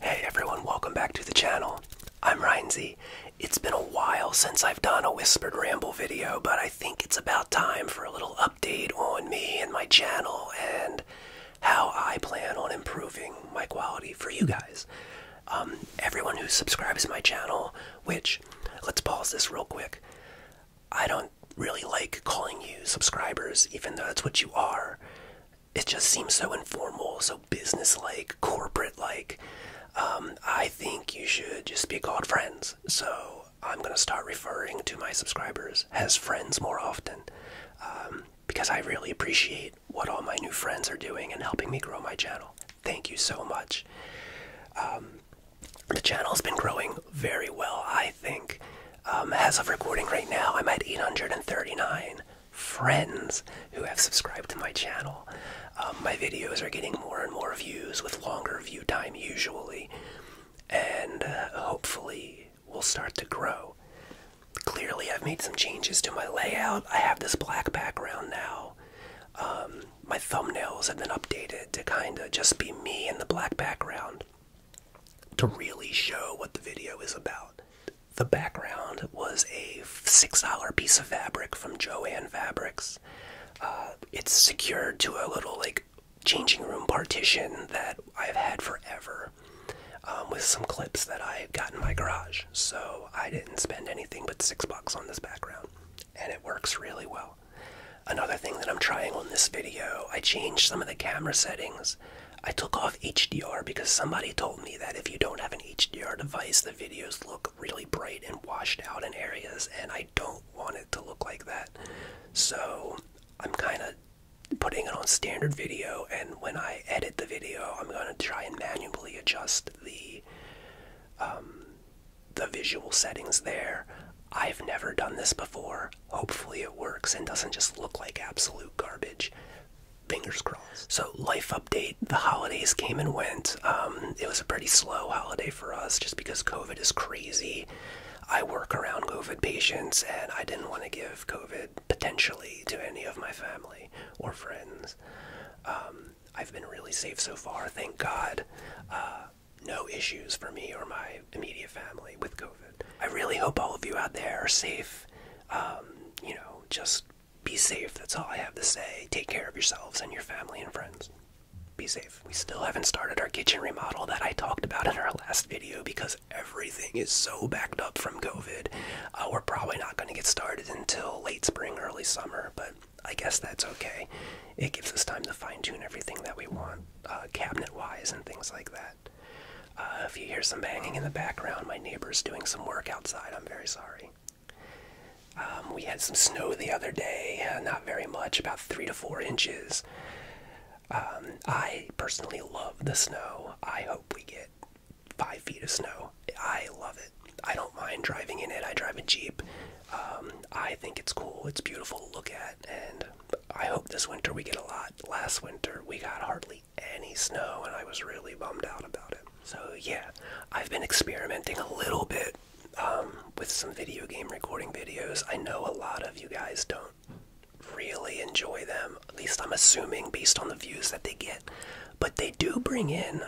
Hey everyone, welcome back to the channel. I'm Ryan It's been a while since I've done a Whispered Ramble video, but I think it's about time for a little update on me and my channel and how I plan on improving my quality for you guys. Um, everyone who subscribes to my channel, which, let's pause this real quick. I don't really like calling you subscribers, even though that's what you are it just seems so informal, so business-like, corporate-like. Um, I think you should just be called friends. So I'm gonna start referring to my subscribers as friends more often, um, because I really appreciate what all my new friends are doing and helping me grow my channel. Thank you so much. Um, the channel's been growing very well, I think. as of recording right now, I'm at 839 friends who have subscribed to my channel. Um, my videos are getting more and more views with longer view time usually, and uh, hopefully will start to grow. Clearly, I've made some changes to my layout. I have this black background now. Um, my thumbnails have been updated to kind of just be me in the black background to really show what the video is about. The background was a $6 piece of fabric from Joann Fabrics. Uh, it's secured to a little like changing room partition that I've had forever um, with some clips that I got in my garage. So I didn't spend anything but six bucks on this background and it works really well. Another thing that I'm trying on this video, I changed some of the camera settings I took off HDR because somebody told me that if you don't have an HDR device, the videos look really bright and washed out in areas, and I don't want it to look like that. So I'm kind of putting it on standard video, and when I edit the video, I'm going to try and manually adjust the um, the visual settings there. I've never done this before. Hopefully, it works and doesn't just look like absolute garbage. Fingers crossed. So, life update the holidays came and went. Um, it was a pretty slow holiday for us just because COVID is crazy. I work around COVID patients, and I didn't want to give COVID potentially to any of my family or friends. Um, I've been really safe so far, thank God. Uh, no issues for me or my immediate family with COVID. I really hope all of you out there are safe. Um, you know, just be safe. That's all I have to say. Take care of yourselves and your family and friends. Be safe. We still haven't started our kitchen remodel that I talked about in our last video because everything is so backed up from COVID. Uh, we're probably not going to get started until late spring, early summer, but I guess that's okay. It gives us time to fine tune everything that we want, uh, cabinet wise and things like that. Uh, if you hear some banging in the background, my neighbor's doing some work outside. I'm very sorry. Um, we had some snow the other day, uh, not very much, about three to four inches. Um, I personally love the snow. I hope we get five feet of snow. I love it. I don't mind driving in it. I drive a Jeep. Um, I think it's cool. It's beautiful to look at, and I hope this winter we get a lot. Last winter we got hardly any snow, and I was really bummed out about it. So, yeah, I've been experimenting a little bit um, with some video game recording videos. I know a lot of you guys don't really enjoy them, at least I'm assuming based on the views that they get, but they do bring in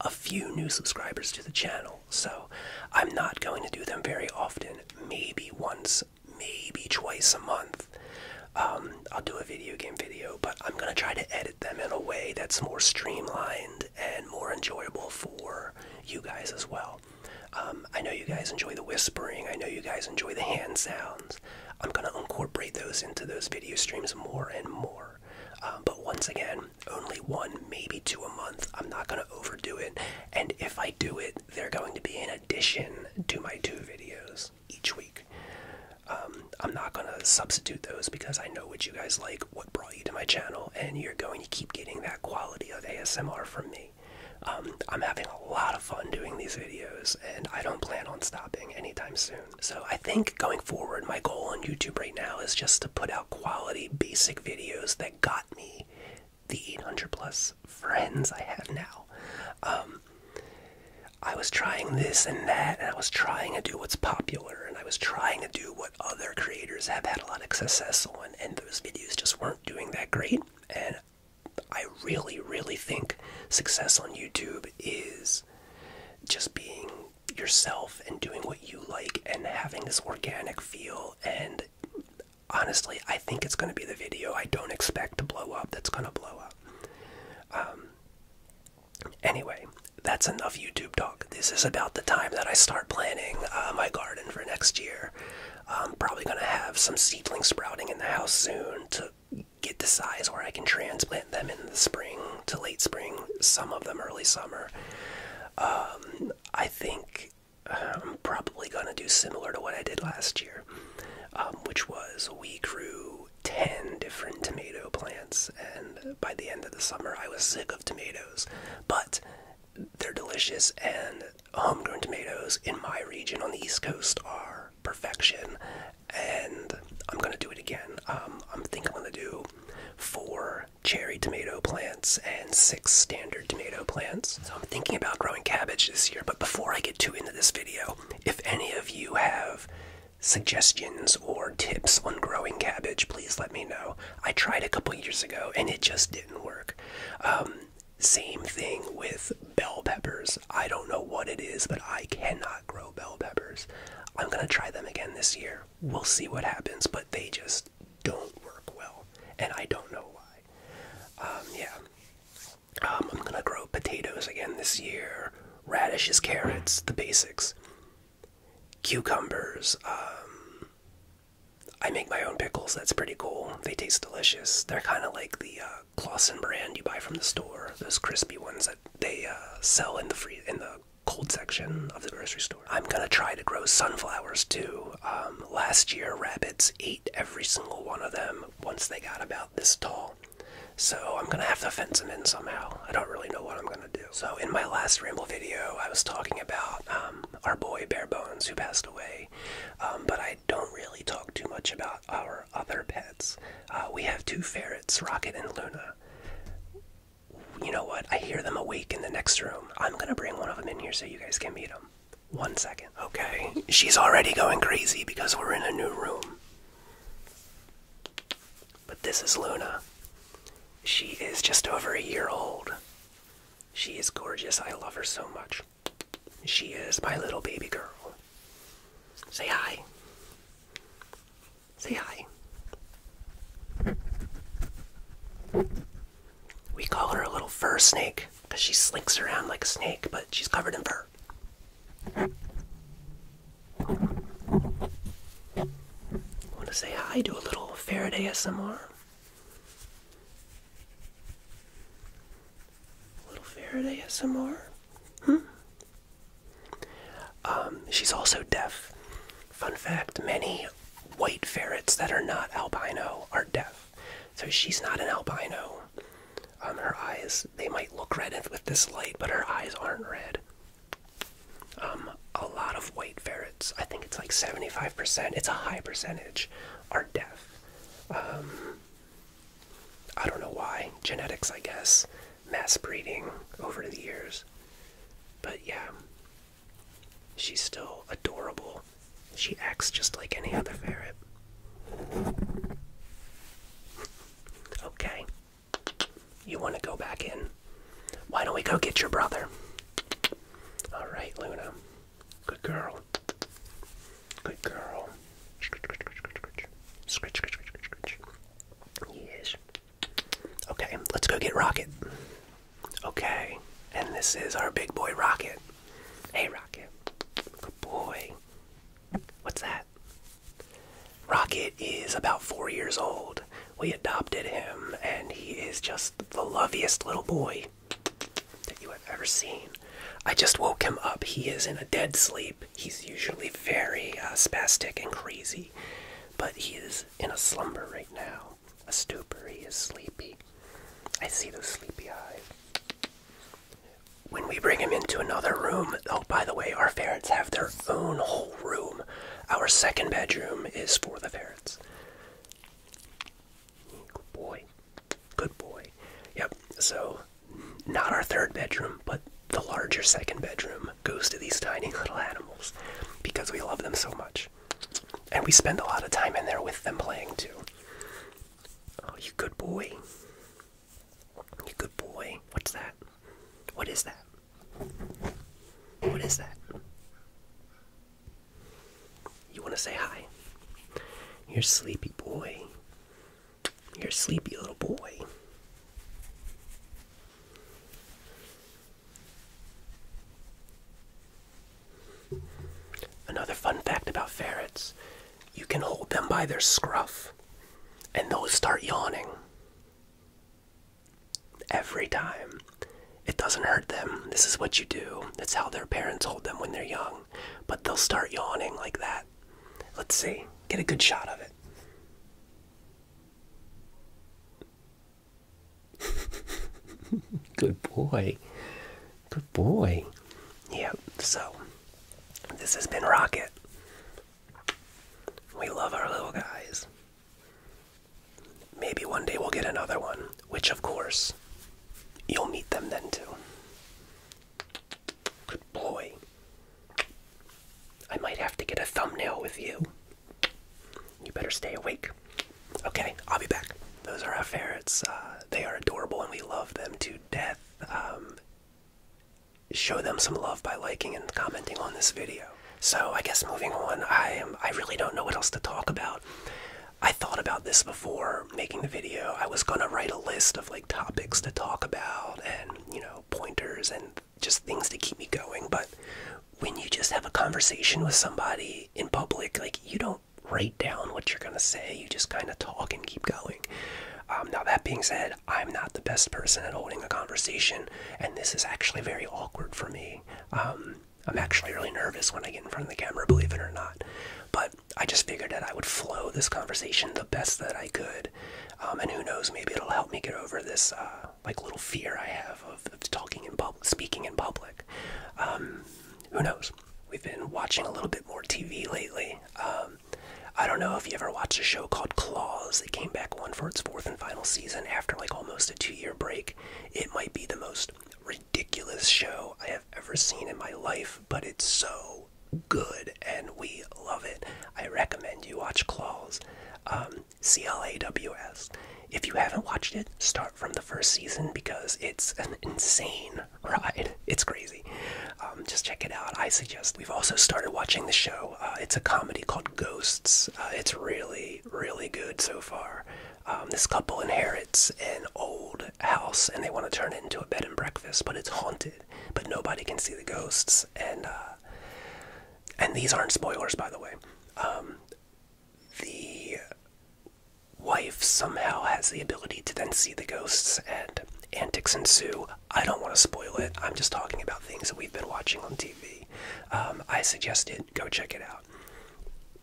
a few new subscribers to the channel, so I'm not going to do them very often, maybe once, maybe twice a month. Um, I'll do a video game video, but I'm gonna try to edit them in a way that's more streamlined and more enjoyable for you guys as well. Um, I know you guys enjoy the whispering. I know you guys enjoy the hand sounds. I'm gonna incorporate those into those video streams more and more. Um, but once again, only one, maybe two a month. I'm not gonna overdo it. And if I do it, they're going to be an addition to my two videos each week. Um, I'm not gonna substitute those because I know what you guys like, what brought you to my channel, and you're going to keep getting that quality of ASMR from me. Um, I'm having a lot of fun doing these videos, and I don't plan on stopping anytime soon. So I think going forward, my goal on YouTube right now is just to put out quality, basic videos that got me the 800 plus friends I have now. Um, I was trying this and that, and I was trying to do what's popular, and I was trying to do what other creators have had a lot of success on, and those videos just weren't doing that great. And I really, really think success on YouTube is just being yourself and doing what you like and having this organic feel. And honestly, I think it's going to be the video I don't expect to blow up that's going to blow up. Um, Anyway, that's enough YouTube talk. This is about the time that I start planning uh, my garden for next year. I'm probably going to have some seedlings sprouting in the house soon to get the size where I can transplant them in the spring to late spring, some of them early summer. Um, I think I'm um, probably going to do similar to what I did last year, um, which was we grew 10 different tomato plants, and by the end of the summer, I was sick of tomatoes. But they're delicious, and homegrown tomatoes in my region on the East Coast are perfection. And I'm gonna do it again. Um, I'm think I'm gonna do four cherry tomato plants and six standard tomato plants. So I'm thinking about growing cabbage this year, but before I get too into this video, if any of you have suggestions or tips on growing cabbage, please let me know. I tried a couple years ago and it just didn't work. Um, same thing with bell peppers. I don't know what it is, but I cannot grow bell peppers. I'm gonna try them again this year. We'll see what happens, but they just don't work well, and I don't know why. Um, yeah. Um, I'm gonna grow potatoes again this year, radishes, carrots, the basics, cucumbers. Um, I make my own pickles. That's pretty cool. They taste delicious. They're kind of like the uh, Clausen brand you buy from the store. Those crispy ones that they uh, sell in the free in the cold section of the grocery store. I'm gonna try to grow sunflowers too. Um, last year, rabbits ate every single one of them once they got about this tall. So I'm gonna have to fence him in somehow. I don't really know what I'm gonna do. So in my last ramble video, I was talking about um, our boy Barebones who passed away, um, but I don't really talk too much about our other pets. Uh, we have two ferrets, Rocket and Luna. You know what? I hear them awake in the next room. I'm gonna bring one of them in here so you guys can meet them. One second. Okay, she's already going crazy because we're in a new room. But this is Luna. She is just over a year old. She is gorgeous. I love her so much. She is my little baby girl. Say hi. Say hi. We call her a little fur snake because she slinks around like a snake, but she's covered in fur. Want to say hi? to a little Faraday ASMR. little Faraday ASMR. Hmm. Um, she's also deaf. Fun fact: many white ferrets that are not albino are deaf. So she's not an albino. Um, her eyes they might look red with this light, but her eyes aren't red. Um, a lot of white ferrets, I think it's like 75%, it's a high percentage, are deaf. Um, I don't know why. Genetics, I guess. Mass breeding over the years. But yeah, she's still adorable. She acts just like any other ferret. Okay. You want to go back in? Why don't we go get your brother? All right, Luna. Good girl. Good girl. Scritch, scritch, scritch, scritch. Yes. Okay, let's go get Rocket. Okay, and this is our big boy Rocket. Hey, Rocket. Good boy. What's that? Rocket is about four years old. We adopted him, and he is just the loveliest little boy that you have ever seen. I just woke him up. He is in a dead sleep. He's usually very uh, spastic and crazy, but he is in a slumber right now. A stupor. He is sleepy. I see those sleepy eyes. When we bring him into another room, oh, by the way, our ferrets have their own whole room. Our second bedroom is for the ferrets. Good boy. Good boy. Yep, so not our third bedroom, but the larger second bedroom goes to these tiny little animals because we love them so much. And we spend a lot of time in there with them playing too. Oh, you good boy good boy. What's that? What is that? What is that? You want to say hi? You're sleepy boy. You're sleepy little boy. Another fun fact about ferrets you can hold them by their scruff and they'll start yawning. Every time. It doesn't hurt them. This is what you do. That's how their parents hold them when they're young. But they'll start yawning like that. Let's see. Get a good shot of it. good boy. Good boy. Yep, so this has been Rocket. We love our little guys. Maybe one day we'll get another one, which of course, you'll meet them then too. Good boy. I might have to get a thumbnail with you. You better stay awake. Okay, I'll be back. Those are our ferrets. Uh, they are adorable and we love them to death. Um, show them some love by liking and commenting on this video. So I guess moving on, I am I really don't know what else to talk about. I thought about this before making the video. I was gonna write a list of like topics to talk about and you know pointers and just things to keep me going. But when you just have a conversation with somebody in public, like you don't write down what you're gonna say. You just kind of talk and keep going. Um, now, that being said, I'm not the best person at holding a conversation, and this is actually very awkward for me. Um, I'm actually really nervous when I get in front of the camera, believe it or not. But I just figured that I would flow this conversation the best that I could. Um, and who knows, maybe it'll help me get over this uh, like little fear I have of, talking in public, speaking in public. who knows? We've been watching a little bit more TV lately. I don't know if you ever watched a show called Claws It came back one for its fourth and final season after like almost a two year break. It might be the most ridiculous show I have ever seen in my life, but it's so good and we love it. I recommend you watch Claws. Um, CLAWS. If you haven't watched it, start from the first season because it's an insane ride. It's crazy. Um, just check it out. I suggest. We've also started watching the show. Uh, it's a comedy called Ghosts. Uh, it's really, really good so far. Um, this couple inherits an old house and they want to turn it into a bed and breakfast, but it's haunted. But nobody can see the ghosts. And uh, and these aren't spoilers, by the way. Um, the wife somehow has the ability to then see the ghosts and antics ensue. I don't want to spoil it. I'm just talking about things that we've been watching on TV. Um, I suggest it. Go check it out.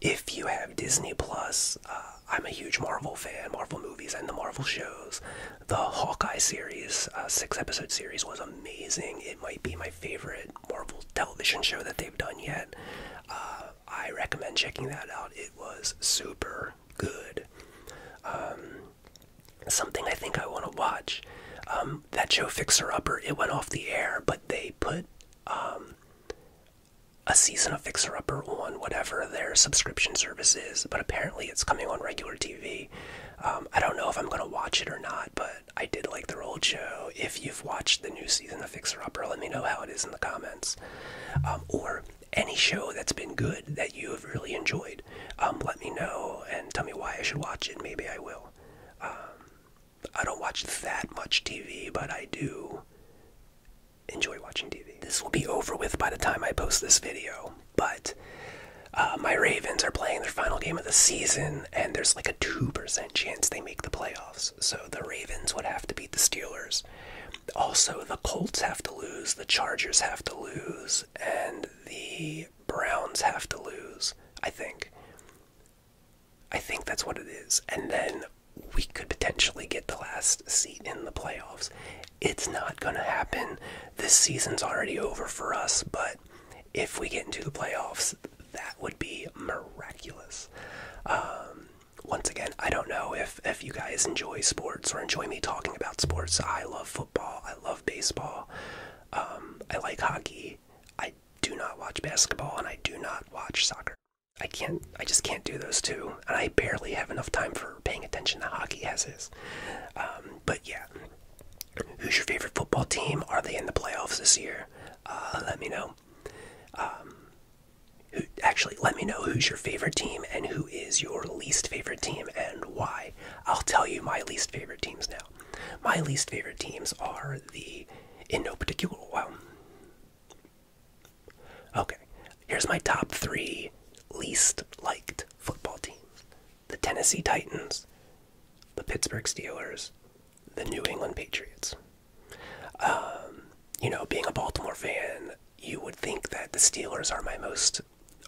If you have Disney Plus, uh, I'm a huge Marvel fan. Marvel movies and the Marvel shows. The Hawkeye series, uh, six episode series, was amazing. It might be my favorite Marvel television show that they've done yet. Uh, I recommend checking that out. It was super good. Um, something I think I want to watch. Um, that show Fixer Upper, it went off the air, but they put um, a season of Fixer Upper on whatever their subscription service is, but apparently it's coming on regular TV. I don't know if I'm going to watch it or not, but I did like the old show. If you've watched the new season of Fixer Upper, let me know how it is in the comments. or any show that's been good that you have really enjoyed. Um, let me know and tell me why I should watch it. Maybe I will. Um, I don't watch that much TV, but I do enjoy watching TV. This will be over with by the time I post this video, but uh, my Ravens are playing their final game of the season, and there's like a 2% chance they make the playoffs. So the Ravens would have to beat the Steelers. Also, the Colts have to lose, the Chargers have to lose, and the Browns have to lose, I think. I think that's what it is. And then we could potentially get the last seat in the playoffs. It's not going to happen. This season's already over for us, but if we get into the playoffs, that would be miraculous. Um, once again, I don't know if, if you guys enjoy sports or enjoy me talking about sports. I love football. I love baseball. Um, I like hockey. I do not watch basketball and I do not watch soccer. I can't, I just can't do those two. And I barely have enough time for paying attention to hockey as is. Um, but yeah, who's your favorite football team? Are they in the playoffs this year? Uh, let me know. Um, who, actually, let me know who's your favorite team and who is your least favorite team and why. I'll tell you my least favorite teams now. My least favorite teams are the, in no particular, well, okay, here's my top three least liked football teams the Tennessee Titans, the Pittsburgh Steelers, the New England Patriots. Um, you know, being a Baltimore fan, you would think that the Steelers are my most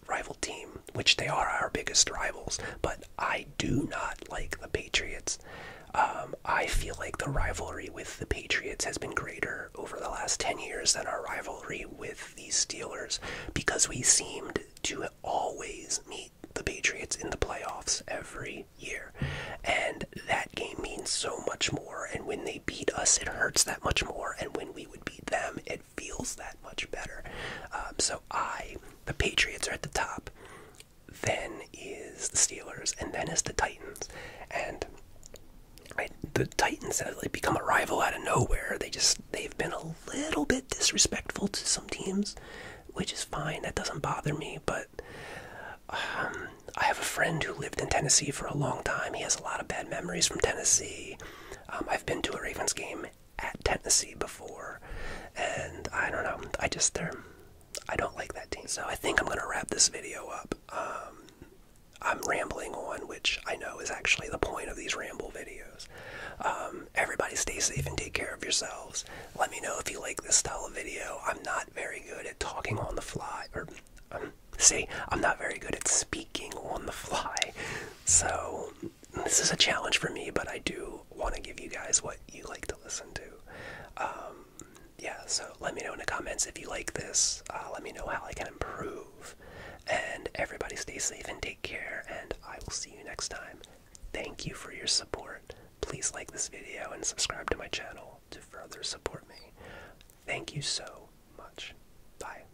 rival team, which they are our biggest rivals, but I do not like the Patriots. Um, I feel like the rivalry with the Patriots has been greater over the last 10 years than our rivalry with the Steelers because we seemed to always meet the Patriots in the playoffs every year. And that game means so much more. And when they beat us, it hurts that much more. And when we would beat them, it feels that much better. Um, so I, the Patriots are at the top, then is the Steelers, and then is the Titans. And the Titans have like become a rival out of nowhere. They just they've been a little bit disrespectful to some teams, which is fine. That doesn't bother me, but. Um, I have a friend who lived in Tennessee for a long time. He has a lot of bad memories from Tennessee. Um, I've been to a Ravens game at Tennessee before, and I don't know. I just I don't like that team. So I think I'm gonna wrap this video up. Um, I'm rambling on, which I know is actually the point of these ramble videos. Um, everybody stay safe and take care of yourselves. Let me know if you like this style of video. I'm not very good at talking on the fly, or um, see, I'm not very good at speaking on the fly. So this is a challenge for me, but I do want to give you guys what you like to listen to. Um, yeah, so let me know in the comments if you like this. Uh, let me know how I can improve. And everybody stay safe and take care, and I will see you next time. Thank you for your support. Please like this video and subscribe to my channel to further support me. Thank you so much. Bye.